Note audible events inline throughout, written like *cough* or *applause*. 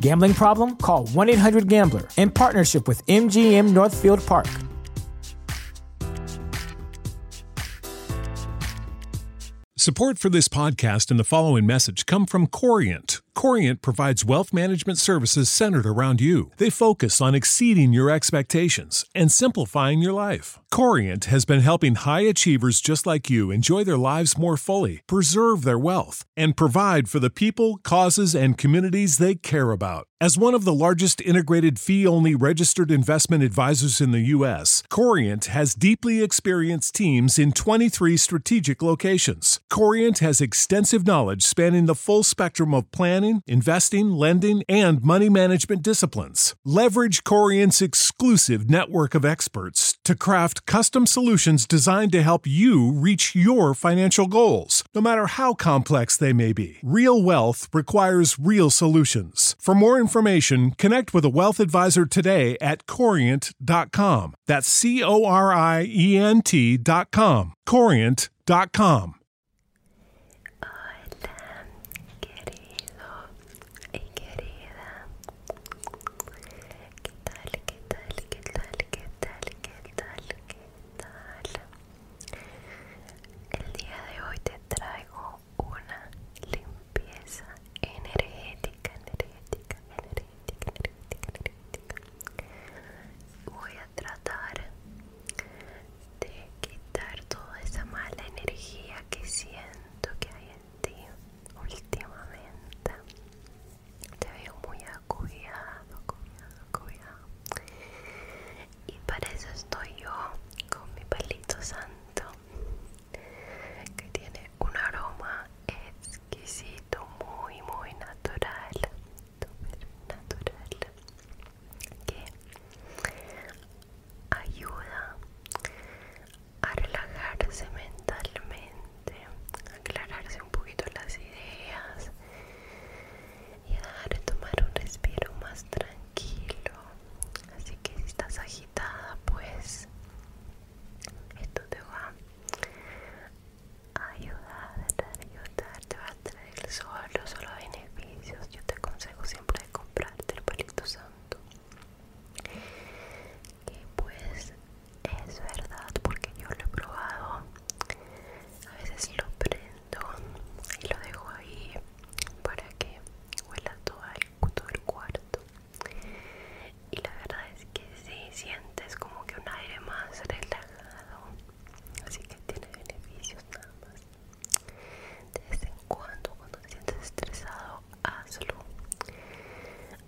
Gambling problem? Call 1 800 Gambler in partnership with MGM Northfield Park. Support for this podcast and the following message come from Corient. Corient provides wealth management services centered around you. They focus on exceeding your expectations and simplifying your life. Corient has been helping high achievers just like you enjoy their lives more fully, preserve their wealth, and provide for the people, causes, and communities they care about. As one of the largest integrated fee only registered investment advisors in the U.S., Corient has deeply experienced teams in 23 strategic locations. Corient has extensive knowledge spanning the full spectrum of planning, investing, lending, and money management disciplines. Leverage Corient's exclusive network of experts to craft custom solutions designed to help you reach your financial goals, no matter how complex they may be. Real wealth requires real solutions. For more information, connect with a wealth advisor today at corient.com. That's C O R I E N T.com. Corient.com. Hola, querido y ¿Qué tal? ¿Qué tal? ¿Qué tal? ¿Qué tal? ¿Qué tal? tal? El día de hoy te traigo una limpieza energética, energética, energética, energética, energética. Voy a tratar de quitar toda esa mala energía que siento que hay en ti últimamente te veo muy acuñado, acuñado, acuñado. Y para eso estoy yo con mi palito santo, que tiene un aroma exquisito, muy, muy natural. Natural que ayuda a relajarse mentalmente, aclararse un poquito las ideas y a tomar un respiro más tranquilo. Así que si estás agitada, pues esto te va a ayudar, te va a traer solo, solo beneficios. Yo te aconsejo siempre de comprarte el palito santo que pues es verdad porque yo lo he probado a veces lo prendo y lo dejo ahí para que huela todo el, cuarto y la verdad es que se sí, sientes como que un aire más relajado así que tiene beneficios nada más de vez en cuando cuando te sientes estresado hazlo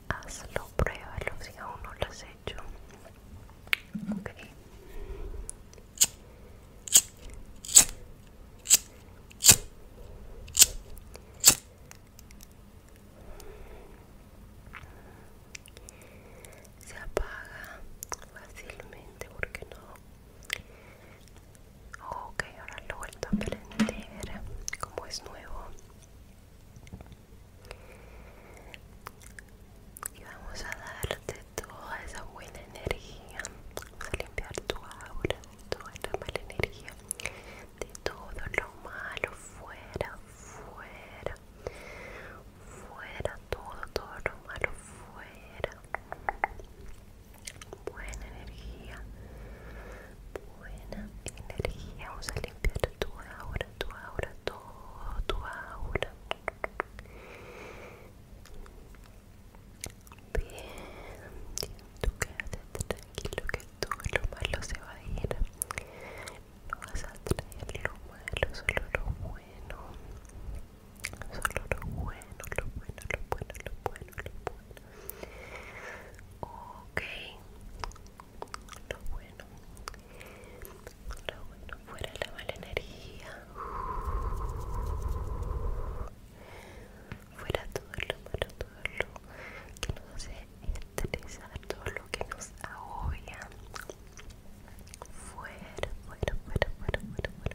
hazlo pruébalo si aún no lo has hecho ok se apaga fácilmente porque no ok ahora lo vuelto a prender como es nuevo y vamos a darte toda esa buena energía vamos a limpiar tu aura toda esa mala energía de todo lo malo fuera fuera fuera todo todo lo malo fuera buena energía buena energía. Vamos a limpiar tu aura, tu aura, todo tu aura. Bien, tú quédate tranquilo que todo lo malo se va a ir. No vas a traer lo bueno, solo lo bueno. Solo lo bueno, lo bueno, lo bueno, lo bueno ok lo bueno lo bueno fuera la mala energía fuera todo lo malo todo lo que nos hace estresar todo lo que nos agobia fuera fuera fuera fuera fuera fuera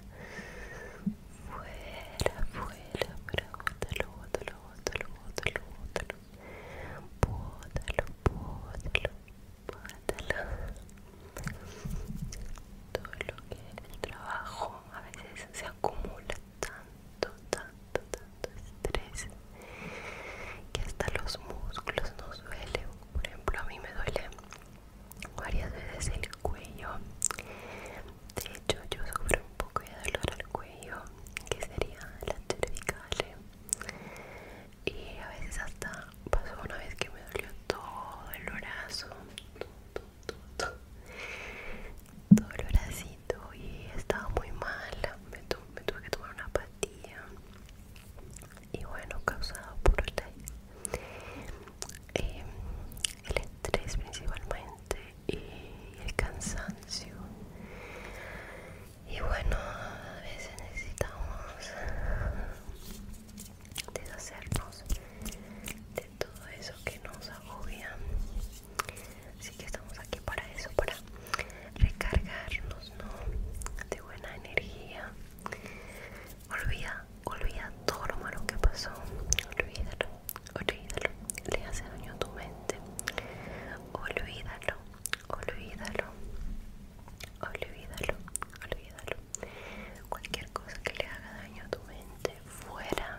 fuera fuera fuera fuera bótalo, bótalo, todo lo que el trabajo a veces se acumula tanto, tanto, tanto estrés que hasta los músculos nos duelen por ejemplo a mí me duele varias veces el cuello de hecho, yo sufro un poco de dolor al cuello, que sería la cervical. Eh. Y a veces hasta pasó una vez que me dolió todo el brazo. Todo, el bracito y estaba muy mal. Me, tuve que tomar una pastilla. Y bueno, causado por la, eh, el estrés principalmente y el cansancio y bueno a veces necesitamos deshacernos de todo eso que nos agobia así que estamos aquí para eso para recargarnos de buena energía olvida olvida todo lo malo que pasó olvida olvídalo, le hace daño a tu mente, olvídalo, olvídalo, olvídalo, olvídalo, cualquier cosa que le haga daño a tu mente, fuera,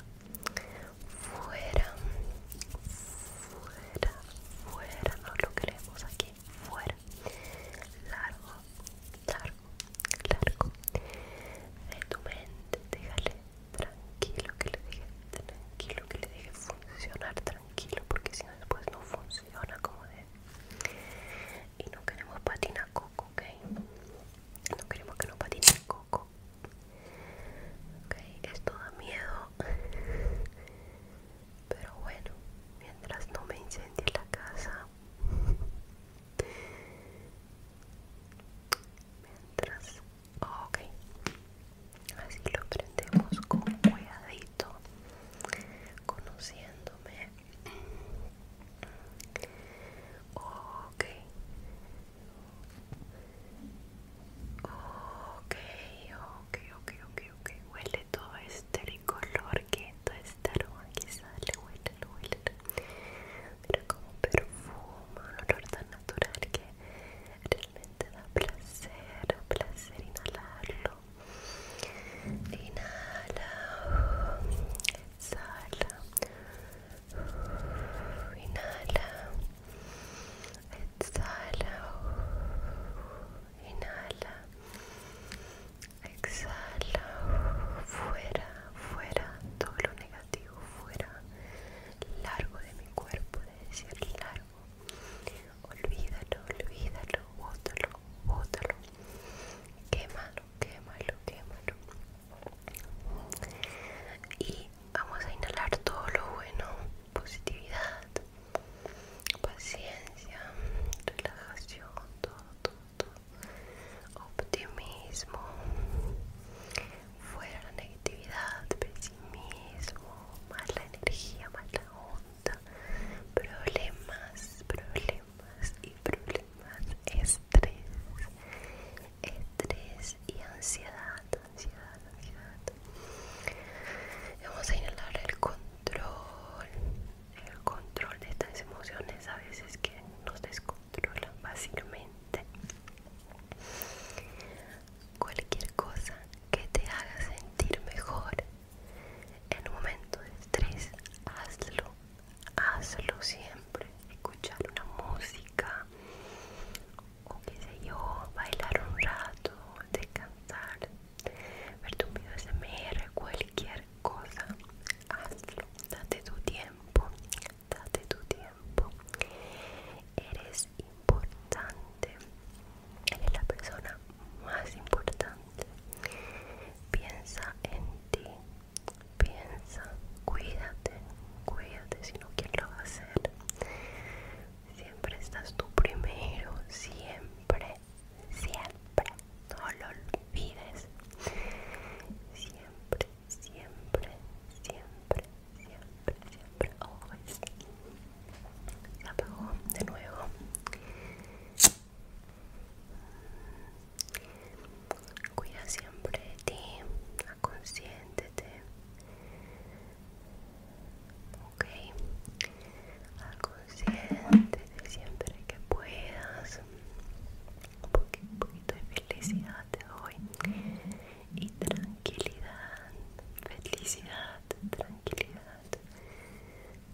fuera, fuera, fuera, no lo queremos aquí, fuera, largo, largo, largo, de tu mente, déjale tranquilo que le deje tranquilo que le deje funcionar tranquilo porque si no después no funciona como de y no queremos patina coco ok no queremos que no patine coco ok esto da miedo pero bueno mientras no me incendie la casa mientras Ok, así lo prendemos con cuidadito, conociéndome. Ok, ok, ok, ok, ok, Huele todo este color que todo este aroma que sale, huele, huele mira como perfume un olor tan natural que realmente da placer, placer inhalarlo. Inhala, exhala, inhala, exhala, inhala, exhala, fuera, fuera, todo lo negativo fuera largo de mi cuerpo, de decir largo. Olvídalo, olvídalo, bótalo, bótalo. Quémalo, quémalo, quémalo. Y vamos a inhalar todo lo bueno, positividad, paciencia, relajación, todo, todo, todo, optimismo, fuera la negatividad, pesimismo, más la energía, más la onda, problemas, problemas y problemas, estrés, estrés y ansiedad, ansiedad, ansiedad. Vamos a inhalar el control, el control de estas emociones a veces que nos descontrolan básicamente Cualquier cosa que te haga sentir mejor en un momento de estrés, hazlo, hazlo siempre. Escuchar una música o qué sé yo, bailar un rato, descansar, ver tu video SMR, cualquier cosa, hazlo, date tu tiempo, date tu tiempo. Eres importante. Eres la persona más importante. Piensa en ti. Piensa, cuídate, cuídate, si no, ¿quién lo va a hacer? Siempre estás tú primero, siempre, siempre, no lo olvides. Siempre, siempre, siempre, siempre, siempre, ojos Se apagó de nuevo. Cuida siempre de ti, aconsiéntete. Ok, aconsiéntete siempre que puedas un poquito de felicidad hoy y tranquilidad, felicidad, tranquilidad,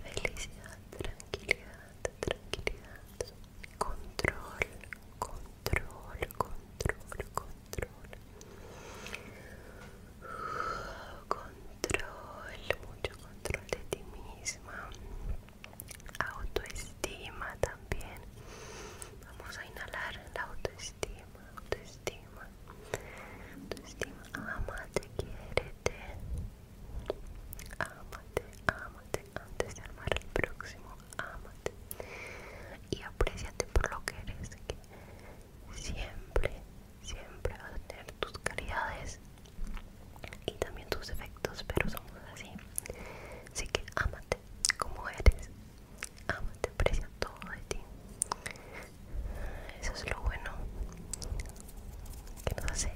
felicidad, tranquilidad, tranquilidad, control, control, control, control, control, mucho control de ti misma autoestima también vamos a inhalar la autoestima autoestima autoestima amate quiérete amate amate antes de amar al próximo amate y apreciate por lo que eres que siempre siempre vas a tener tus calidades y también tus efectos pero somos así. Así que ámate como eres, Amate, aprecia todo de ti. Eso es lo bueno que nos hace,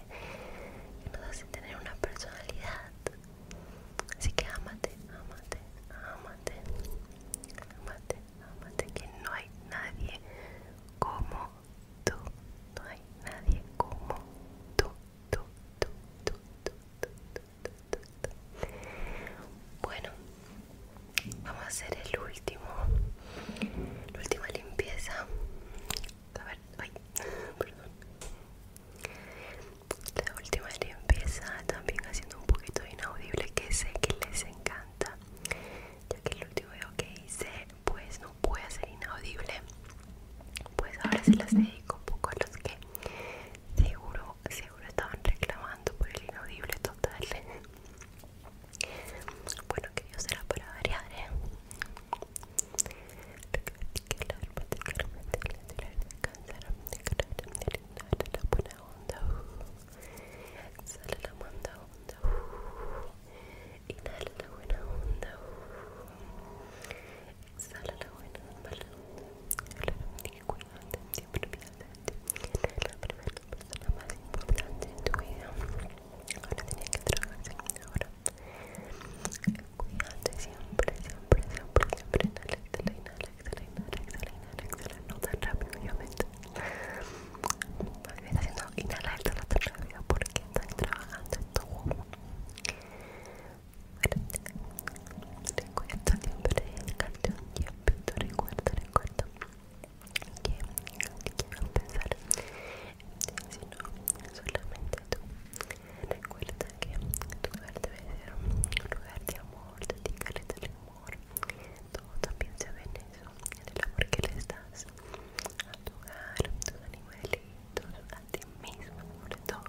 que nos hace tener una personalidad. Así que ámate, ámate, ámate, ámate, que no hay nadie como tú, no hay nadie como tú. Bueno, vamos a hacer el último, la última limpieza. A ver, ay, *laughs* perdón. La última limpieza también haciendo un poquito inaudible que sé que les encanta. Ya que el último video que hice pues no puede ser inaudible pues ahora se las dedico un poco a los que seguro seguro estaban reclamando por el inaudible total *laughs* bueno que yo será para variar ¿eh? la manda Inhala la buena onda. la buena siempre la primera persona más importante en tu vida. Ahora que trabajar siempre, siempre, siempre, Inhala, No tan rápido, obviamente. me haciendo porque trabajando Recuerdo siempre el canción Tiempito, recuerdo, recuerdo que quiero empezar si sino solamente tú recuerda que tu lugar debe ser un lugar de amor, dedícale el amor todo también se ven en eso, en el amor que le das a tu hogar, a tus animales a ti mismo, sobre todo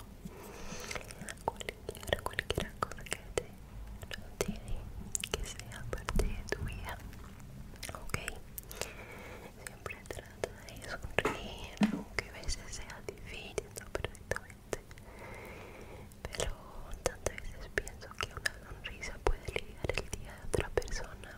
cualquier, cualquier cosa que te que sea parte de tu vida, ok siempre trata de sonreír aunque a veces sea difícil perfectamente pero tantas veces pienso que una sonrisa puede ligar el día de otra persona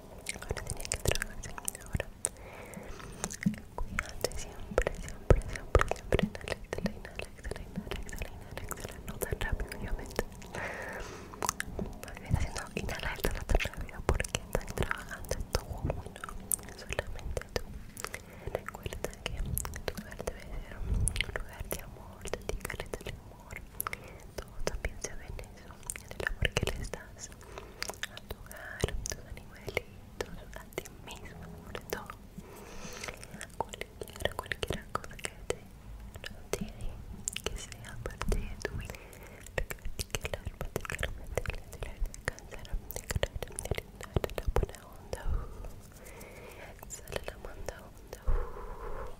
ahora tenía que ahora cuídate siempre, siempre, siempre, siempre inhala, exhala, inhala, exhala, inhala, exhala, no tan rápido obviamente haciendo inhala, exhala porque están trabajando solamente tú recuerda que tu lugar debe ser un lugar de amor, de ti, de amor. Tú piensa en eso, en el amor que le das a tu hogar, a tus animalitos, a ti mismo, por todo. A cualquier, cualquier cosa que te tiene, que sea parte de tu vida. Practicar, te practicar, descansar, descansar, la buena onda. Sale uh, la manda onda. Uh,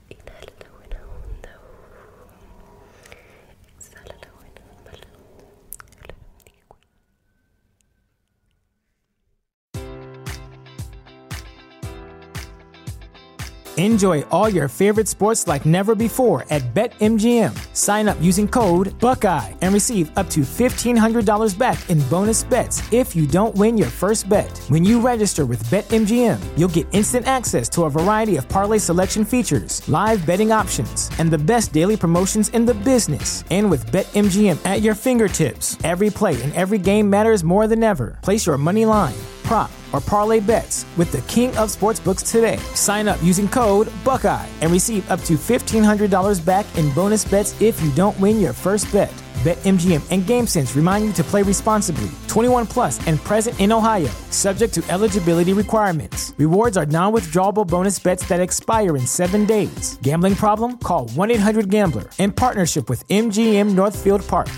Enjoy all your favorite sports like never before at BetMGM. Sign up using code Buckeye and receive up to $1,500 back in bonus bets if you don't win your first bet. When you register with BetMGM, you'll get instant access to a variety of parlay selection features, live betting options, and the best daily promotions in the business. And with BetMGM at your fingertips, every play and every game matters more than ever. Place your money line prop or parlay bets with the king of sportsbooks today. Sign up using code Buckeye and receive up to $1,500 back in bonus bets if you don't win your first bet. BetMGM and GameSense remind you to play responsibly. 21 plus and present in Ohio, subject to eligibility requirements. Rewards are non withdrawable bonus bets that expire in seven days. Gambling problem? Call 1 800 Gambler in partnership with MGM Northfield Park.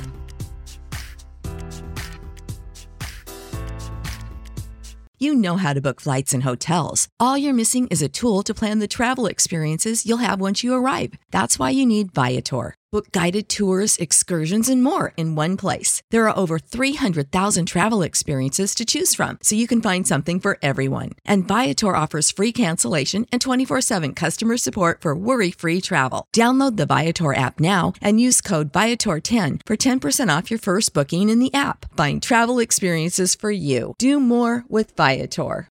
You know how to book flights and hotels. All you're missing is a tool to plan the travel experiences you'll have once you arrive. That's why you need Viator. Book guided tours, excursions, and more in one place. There are over 300,000 travel experiences to choose from, so you can find something for everyone. And Viator offers free cancellation and 24 7 customer support for worry free travel. Download the Viator app now and use code Viator10 for 10% off your first booking in the app. Find travel experiences for you. Do more with Viator.